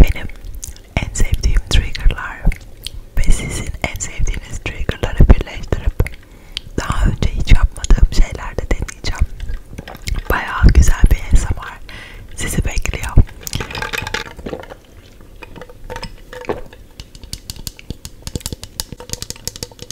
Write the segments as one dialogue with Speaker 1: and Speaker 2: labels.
Speaker 1: Benim en sevdiğim triggerlar ve sizin en sevdiğiniz triggerları birleştirip daha önce hiç yapmadığım şeyler de deneyeceğim. Bayağı güzel bir ASMR sizi bekliyor.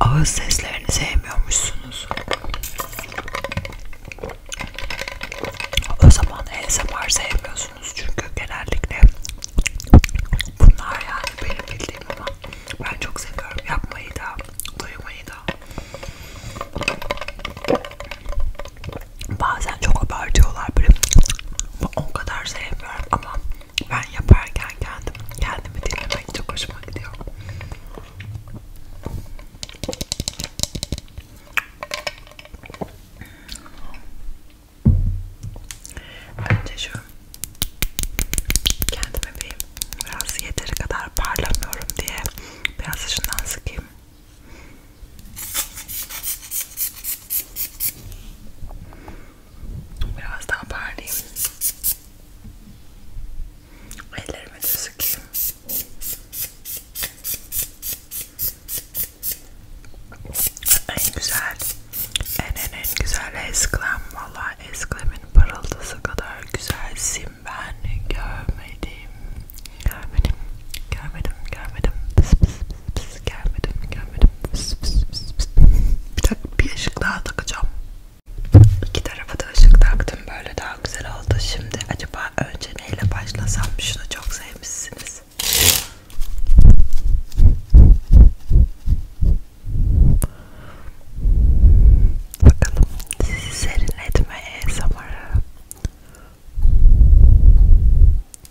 Speaker 1: Ağız seslerini sevmiyormuşsunuz. O zaman ASMR sevmiyorsunuz çünkü genellikle bunlar yani benim bildiğim ama ben çok seviyorum yapmayı da, duymayı da bazen çok abartıyorlar böyle o kadar sevmiyorum ama ben yaparken kendim kendimi dinlemek çok hoşuma gidiyor. Önce şu kendime bir biraz yeteri kadar parlamıyorum diye biraz dışından sıkayım. Biraz daha parlayayım. Ellerime de sıkayım. En güzel, en en en güzel esklem. Valla esklemin parıltısı kadar güzel sim ben görmedim. Görmedim, görmedim, görmedim. Pıs pıs Pıs gelmedi mi gelmedi mi? Pıs pıs pıs pıs. Bir dakika bir ışık daha takacağım. İki tarafa da ışık taktım böyle daha güzel oldu. Şimdi acaba önce neyle başlasam? Şunu çok sevmişsiniz. Bakalım sizi serinletme e, ASMR'ı.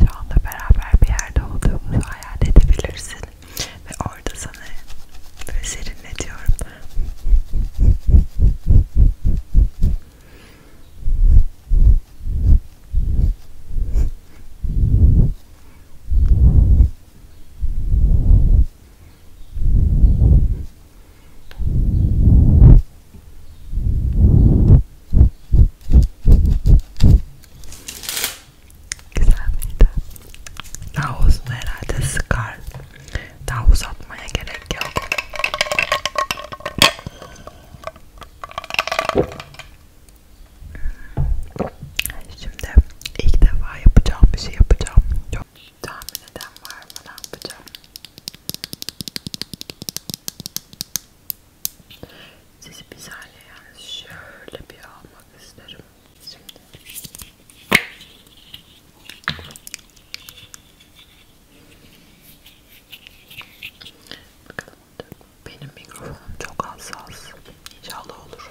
Speaker 1: şu anda beraber bir yerde olduğumuzu hayal edebilirsin ve orada sana böyle serinletiyorum Güzel miydi? Daha uzun herhalde sıkar. Daha uzatmaya gerek yok. Şimdi ilk defa yapacağım bir şey yapacağım. Çok tahmin eden var mı ne yapacağım? Sizi güzelce yani şöyle bir almak isterim. Şimdi. Bakalım. Benim mikrofonum çok hassas. İnşallah olur.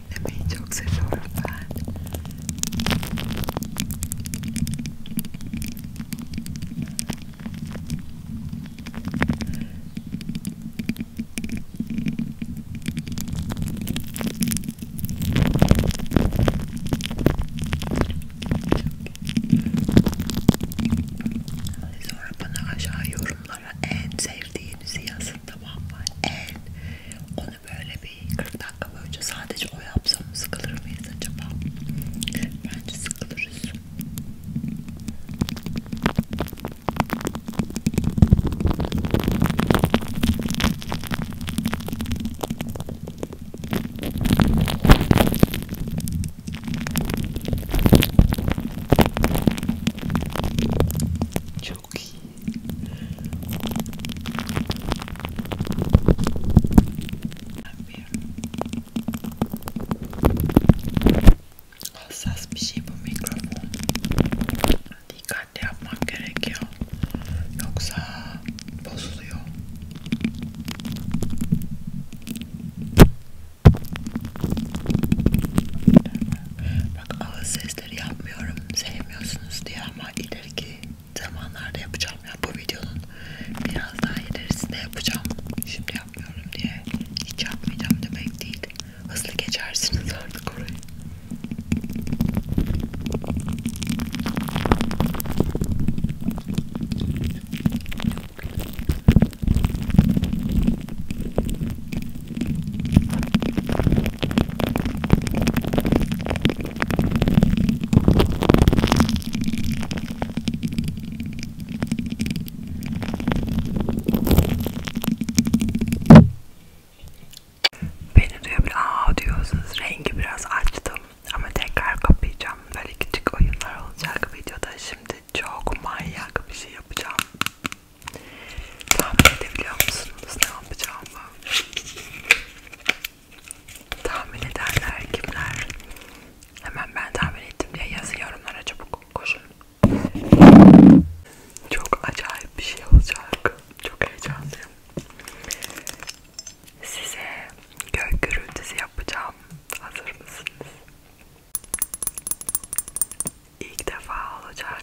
Speaker 1: dinlemeyi çok seviyorum ben. Sonra bana aşağı yorumlara en sevdiğinizi yazın tamam mı? En. Onu bunu böyle bir 40 dakika boyunca sadece o yapsam sıkılır mıyız acaba? Bence sıkılırız. Çok çok iyi. Hassas bir şey bu mikrofon. Dikkatli yapmak gerekiyor. Yoksa bozuluyor. Bak ağız sesleri yapmıyorum sevmiyorsunuz diye ama ileriki zamanlarda yapacağım ya yani bu videonun biraz daha ilerisinde yapacağım şimdi yapmıyorum diye hiç yapmayacağım demek değil hızlı geçersiniz artık orayı Beni duyabiliyor. Aa diyorsunuz. Rengi biraz açtım. Ama tekrar kapayacağım. Böyle küçük oyunlar olacak videoda. Şimdi çok manyak bir şey yapacağım. Tahmin edebiliyor musunuz ne yapacağımı? Tahmin ederler kimler? Hemen ben tahmin ettim diye yazın yorumlara çabuk koşun. Çok acayip bir şey olacak. Çok heyecanlıyım. Size gök gürültüsü yapacağım. Hazır mısınız? İlk defa olacak.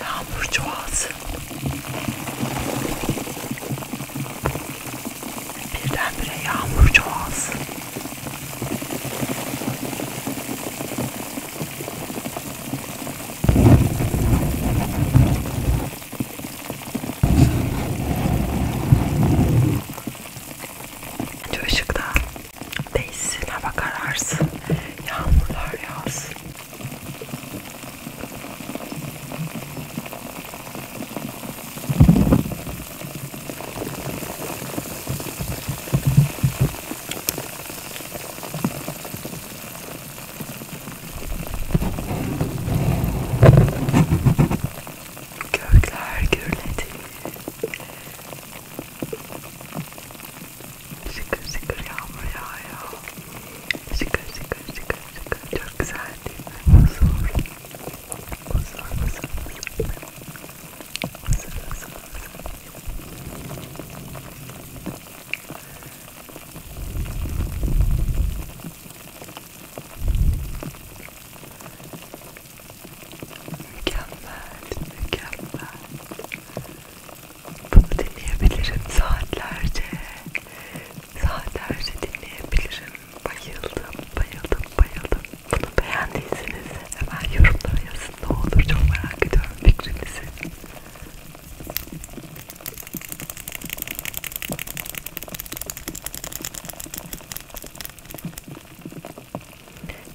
Speaker 1: Yağmur çoğalsın. Birdenbire yağmur çoğalsın. Şu ışıkta değilsin, hava kararsın, yağmurlar yağsın. Gökler gürledi. Şıkır şıkır yağmur yağıyor. Şıkır şıkır şıkır şıkır. Çok güzel değil mi? Huzur. Huzur, huzur, huzur. Huzur, huzur, huzur. Mükemmel, mükemmel. Bunu dinleyebilirim saatlerce. Saatlerce dinleyebilirim. Bayıldım, bayıldım, bayıldım. Bunu beğendiyseniz hemen yorumlara yazın ne olur. Çok merak ediyorum fikrinizi.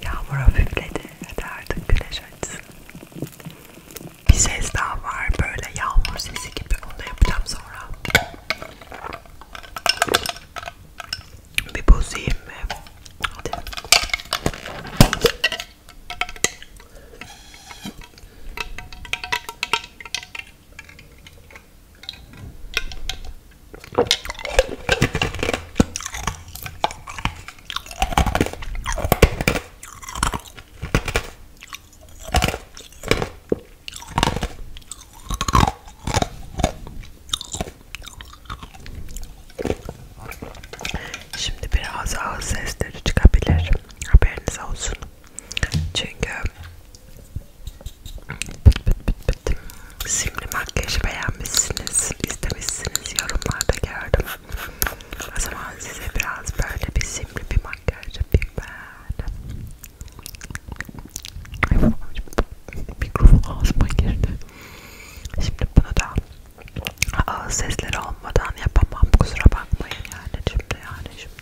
Speaker 1: Yağmur hafifledi. Hadi artık güneş açsın. Bir ses daha var böyle yağmur sesi gibi. Onu da yapacağım sonra. Bir bozayım mı? Hadi. Şimdi biraz ağız sesleri çıkabilir. Haberiniz olsun. Çünkü bit bit bit bit simli makyajı beğenmişsiniz, istemişsiniz yorumlarda gördüm. O zaman size biraz böyle bir simli bir makyaj yapayım ben. Mikrofon ağzıma girdi. Şimdi bunu da ağız sesleri olmadan yapamam kusura bakmayın yani şimdi yani şimdi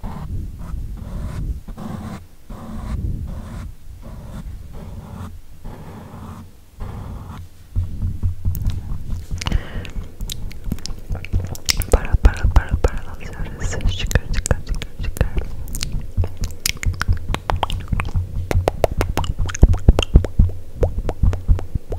Speaker 1: Para para para para alıyoruz. Çıkar çıkar çıkar çıkar.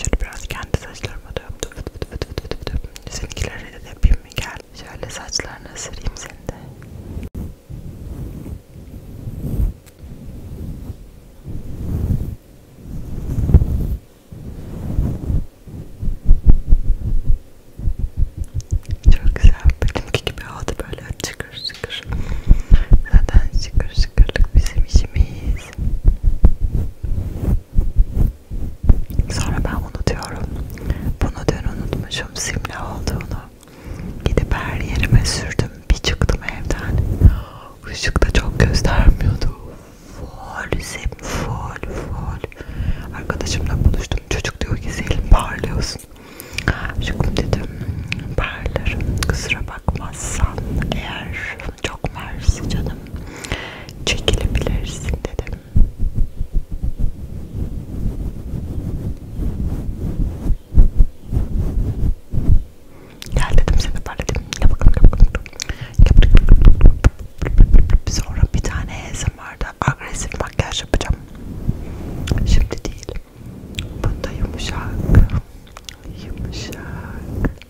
Speaker 1: Şöyle biraz kendi saçlarıma da öptüm. Seninkilere de yapayım mı? Gel. Şöyle saçlarını ısırayım seni de. Çok güzel. Benimki gibi oldu böyle çıkır çıkır. Zaten çıkır çıkırlık bizim işimiz. Sonra ben unutuyorum. Bunu dün unutmuşum simle olduğunu. Gidip her yerime sürdüm. Bir çıktım evden. Işık da çok göstermiyordu. Full sim, full, full. Arkadaşımla buluştum. Çocuk diyor ki Selim parlıyorsun. Aşkım dedim parlarım kusura bakmazsan eğer tarafını çok mersi canım. Çekilebilirsin dedim. Gel dedim seni parlatayım. Gel bakalım gel bakalım. Sonra bir tane vardı. agresif makyaj yapacağım. Şimdi değil. Bunda yumuşak. Yumuşak.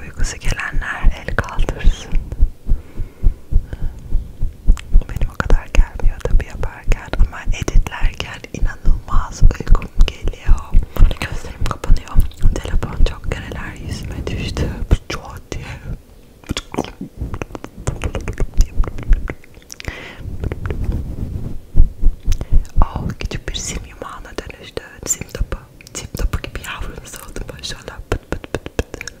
Speaker 1: Uykusu gelenler el kaldırsın. Benim o kadar gelmiyor tabi yaparken ama editlerken inanılmaz uykum geliyor. Gözlerim kapanıyor. Telefon çok kereler yüzüme düştü. Çok diye. Oh, küçük bir sim yumağına dönüştü. Sim topu. Tip topuk gibi yavrumuz oldu maşallah. Pıt pıt pıt pıt.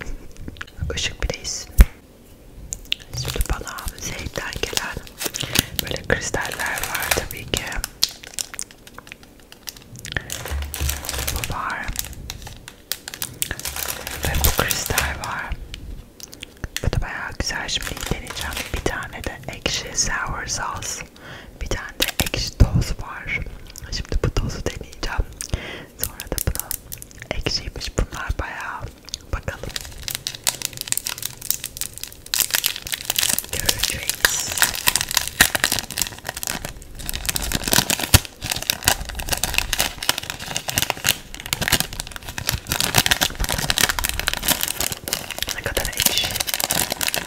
Speaker 1: Işık bileyiz. Şimdi bana Zeyd'den gelen böyle kristaller var tabii ki. Bu var. Ve bu kristal var. Bu da bayağı güzel. Şimdi deneyeceğim. Bir tane de ekşi sour sauce. Bir tane de ekşi toz var. Şimdi bu tozu deneyeceğim. Sonra da bunu ekşiymiş bunlar bayağı. Bakalım. Göreceğiz. Ne kadar ekşi.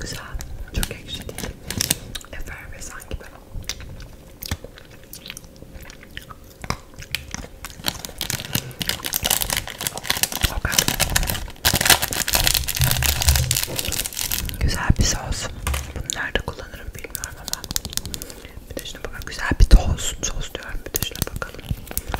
Speaker 1: Güzel, çok ekşi değil. Efervesan gibi. Okay. Güzel bir sos. Bunu nerede kullanırım bilmiyorum ama. Bir de şuna bakalım. Güzel bir toz. Sos diyorum. Bir de şuna bakalım.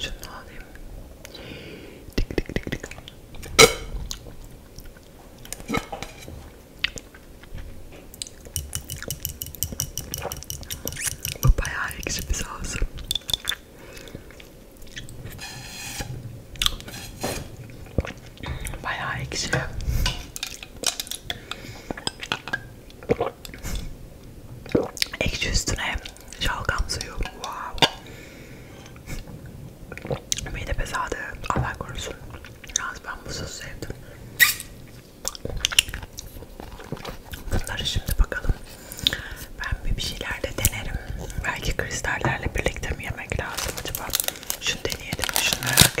Speaker 1: Şunu alayım. Dik dik dik dik. Bu bayağı ekşi bir sos. Bayağı ekşi. Ekşi üstüne şalgam suyu. Wow. Mide pesadı. Allah korusun. Yalnız ben bu sosu sevdim. Bunları şimdi bakalım. Ben bir şeyler de denerim. Belki kristallerle birlikte mi yemek lazım acaba? Şunu deneyelim. Şunu merak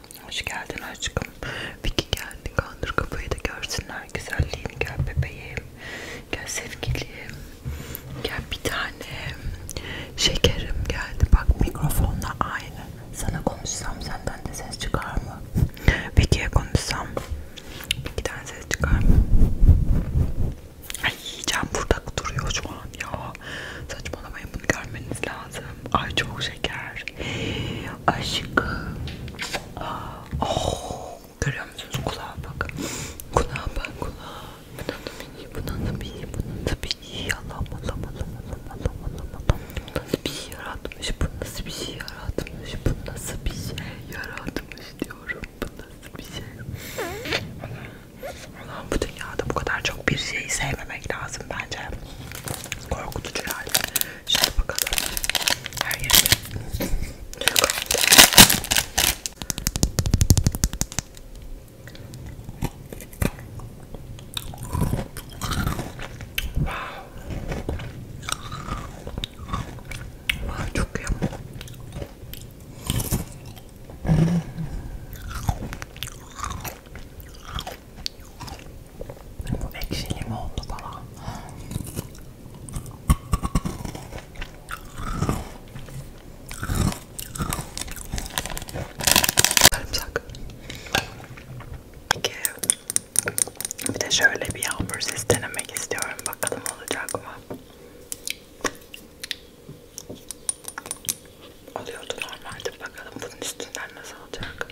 Speaker 1: Hoş geldin aşkım. Peki geldin kandır kafayı da görsünler güzelliğini. Gel bebeğim. Gel sevgilim. Gel bir tane şekerim geldi. Bak mikrofonla aynı. Sana konuşsam senden de ses çıkar mı? Peki konuşsam Peki tane ses çıkar mı? Ay yiyeceğim burada duruyor şu an ya. Saçmalamayın bunu görmeniz lazım. Ay çok şeker. Aşkım. Ah, oh. Görüyor musunuz kulağa bak. Kulağa bak kulağa. Bundan da bir iyi, bundan da bir iyi, bundan da bir iyi. Allah'ım Allah'ım Allah'ım Allah'ım Allah'ım Allah'ım Allah'ım. Bu nasıl bir şey yaratmış, bu nasıl bir şey yaratmış, bu nasıl bir şey yaratmış diyorum. Bu nasıl bir şey. Allah'ım bu dünyada bu kadar çok bir şeyi sevmemek lazım bence. Korkutucu yani. Şöyle bakalım. Her yerde. Wow. wow. Çok iyi. Bu ekşi limonlu bana. Sarımsak. Peki. Bir de şöyle bir yağmur ses denemek istiyorum. Bakalım olacak mı? Oluyordu normalde. Bakalım bunun üstünden nasıl olacak.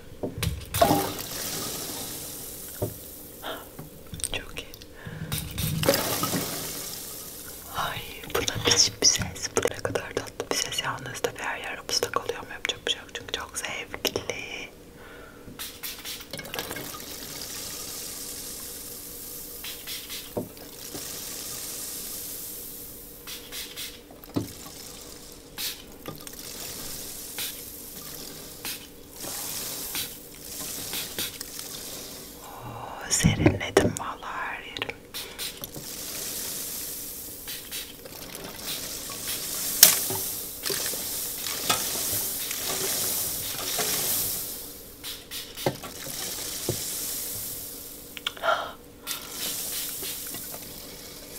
Speaker 1: Çok iyi. Ay buna biçim bir ses. Bu ne kadar tatlı bir ses. Yalnız tabi her yer ıslak oluyor mu yapacak bir şey yok. Çünkü çok zevkli. Oo, oh, serinledim vallahi her yerim.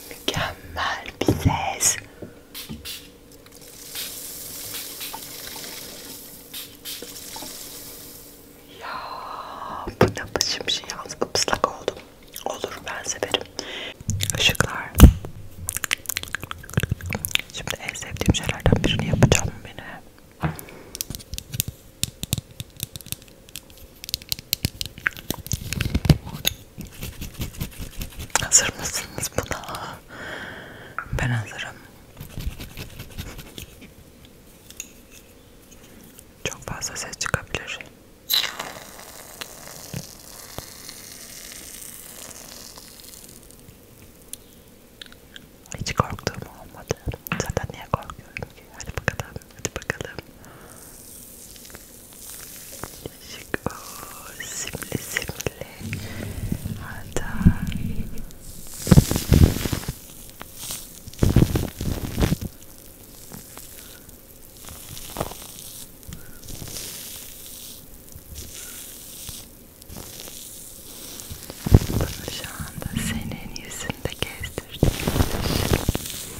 Speaker 1: Mükemmel bir ses. Ya bu ne biçim şey yalnız ıslak oldum. Olur ben severim. Işıklar. Şimdi en sevdiğim şeylerden birini yapacağım beni. Hazır mısınız buna? Ben hazırım. Çok fazla ses çıkabilir. Hiç korktuğum olmadı. Zaten niye korkuyorum ki? Hadi bakalım. Hadi bakalım. Şık o simli simli. Hatta bana şu anda senin yüzünde gezdirdim.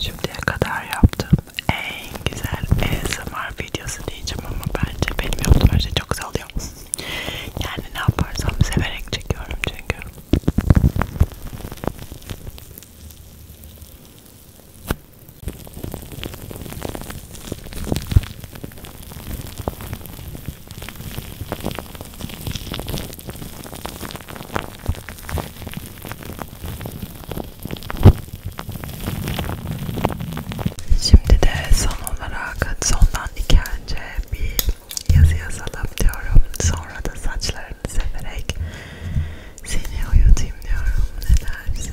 Speaker 1: Şimdiye kadar yaptığım en güzel ASMR videosu diyeceğim ama bence benim yaptığım her şey çok güzel oluyor. Yani ne yaparsam severek çekiyorum çünkü. Şimdi de son olarak sondan iki önce bir yazı yazalım diyorum. Sonra da saçlarını severek seni uyutayım diyorum. Ne dersin?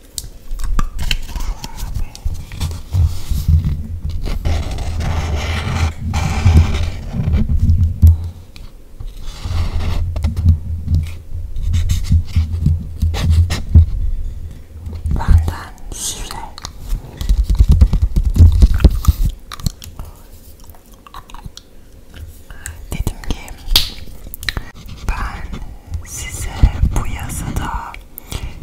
Speaker 1: Benden size dedim ki ben size bu yazıda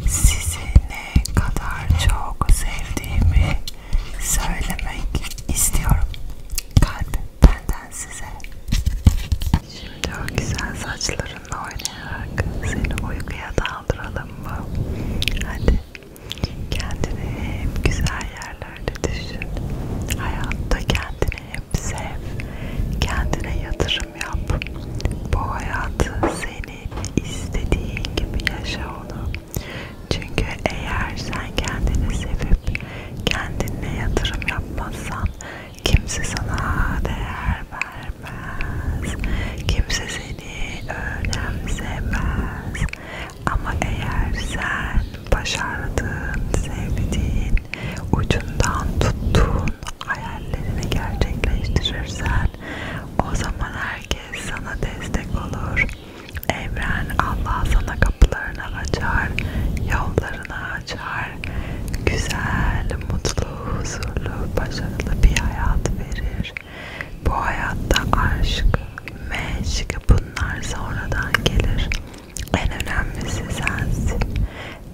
Speaker 1: sizi ne kadar çok sevdiğimi söylemek istiyorum. Kalp benden size. Şimdi o güzel saçlarınla oynayarak seni uykuya daldıralım mı? Hadi kendini hep güzel yerlerde düşün. Hayatta kendini hep sev. Kendine yatırım seçim yap. Bu hayatı senin istediğin gibi yaşa onu. Çünkü eğer sen kendini sevip kendine yatırım yapmazsan kimse sana değer vermez. Kimse seni önemsemez. Ama eğer sen başardığın, sevdiğin, ucundan tuttuğun hayallerini gerçekleştirirsen o zaman herkes sana destek olur. Evren Allah sana kapılarını açar, yollarını açar. Güzel, mutlu, huzurlu, başarılı bir hayat verir. Bu hayatta aşk, meşk bunlar sonradan gelir. En önemlisi sensin.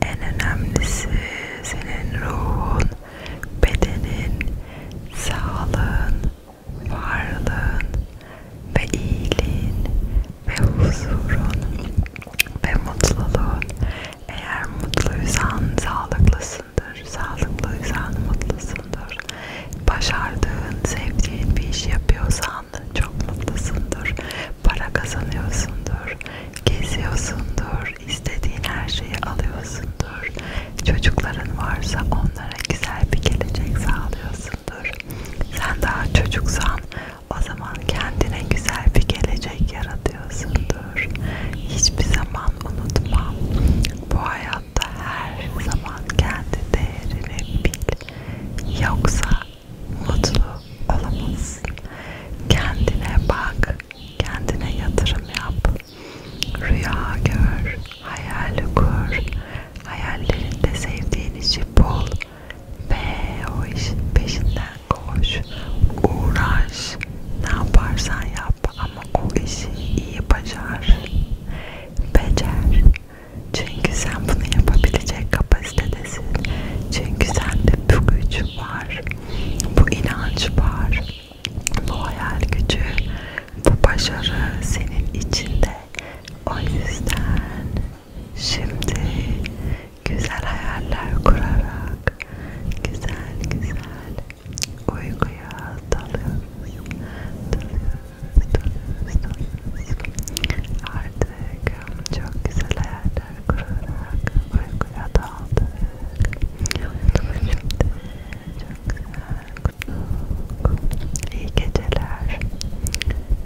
Speaker 1: En önemlisi senin ruhun, bedenin, sağlığın, varlığın ve iyiliğin ve huzurun ve mutluluğun. Eğer mutluysan sağlıklısındır, sağlıklıysan mutlusundur. Başardığın, sevdiğin bir iş yapıyorsan çok mutlusundur. Para kazanıyorsundur, geziyorsundur, istediğin her şeyi alıyorsundur. Çocukların varsa onlara güzel bir gelecek sağlıyorsundur. Sen daha çocuksan o zaman kendine güzel bir gelecek yaratıyorsundur. Hiçbir zaman unutma. Bu hayatta her zaman kendi değerini bil. Yoksa mutlu olamazsın. Kendine bak, kendine yatırım yap. Rüya gör, hayal kur, hayallerinde sevdiğin işi bul ve o işin peşinden koş, uğraş, ne yaparsan yap ama o işi iyi başar, becer. Çünkü sen bunu yapabilecek kapasitedesin. Çünkü sende bu güç var bu inanç var, bu hayal gücü, bu başarı senin içinde. O yüzden şimdi güzel hayaller kurarak güzel güzel uykuya dalıyoruz, dalıyoruz, dalıyoruz, dalıyoruz. Artık çok güzel hayaller kurarak uykuya daldık. Uyudum şimdi. Çok güzel. İyi geceler.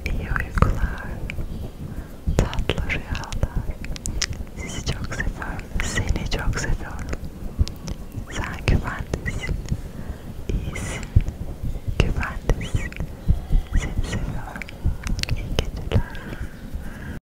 Speaker 1: İyi uykular. Tatlı rüyalar. Sizi çok seviyorum. Seni çok seviyorum. Sen güvendesin. İyisin. Güvendesin. Seni seviyorum. İyi geceler.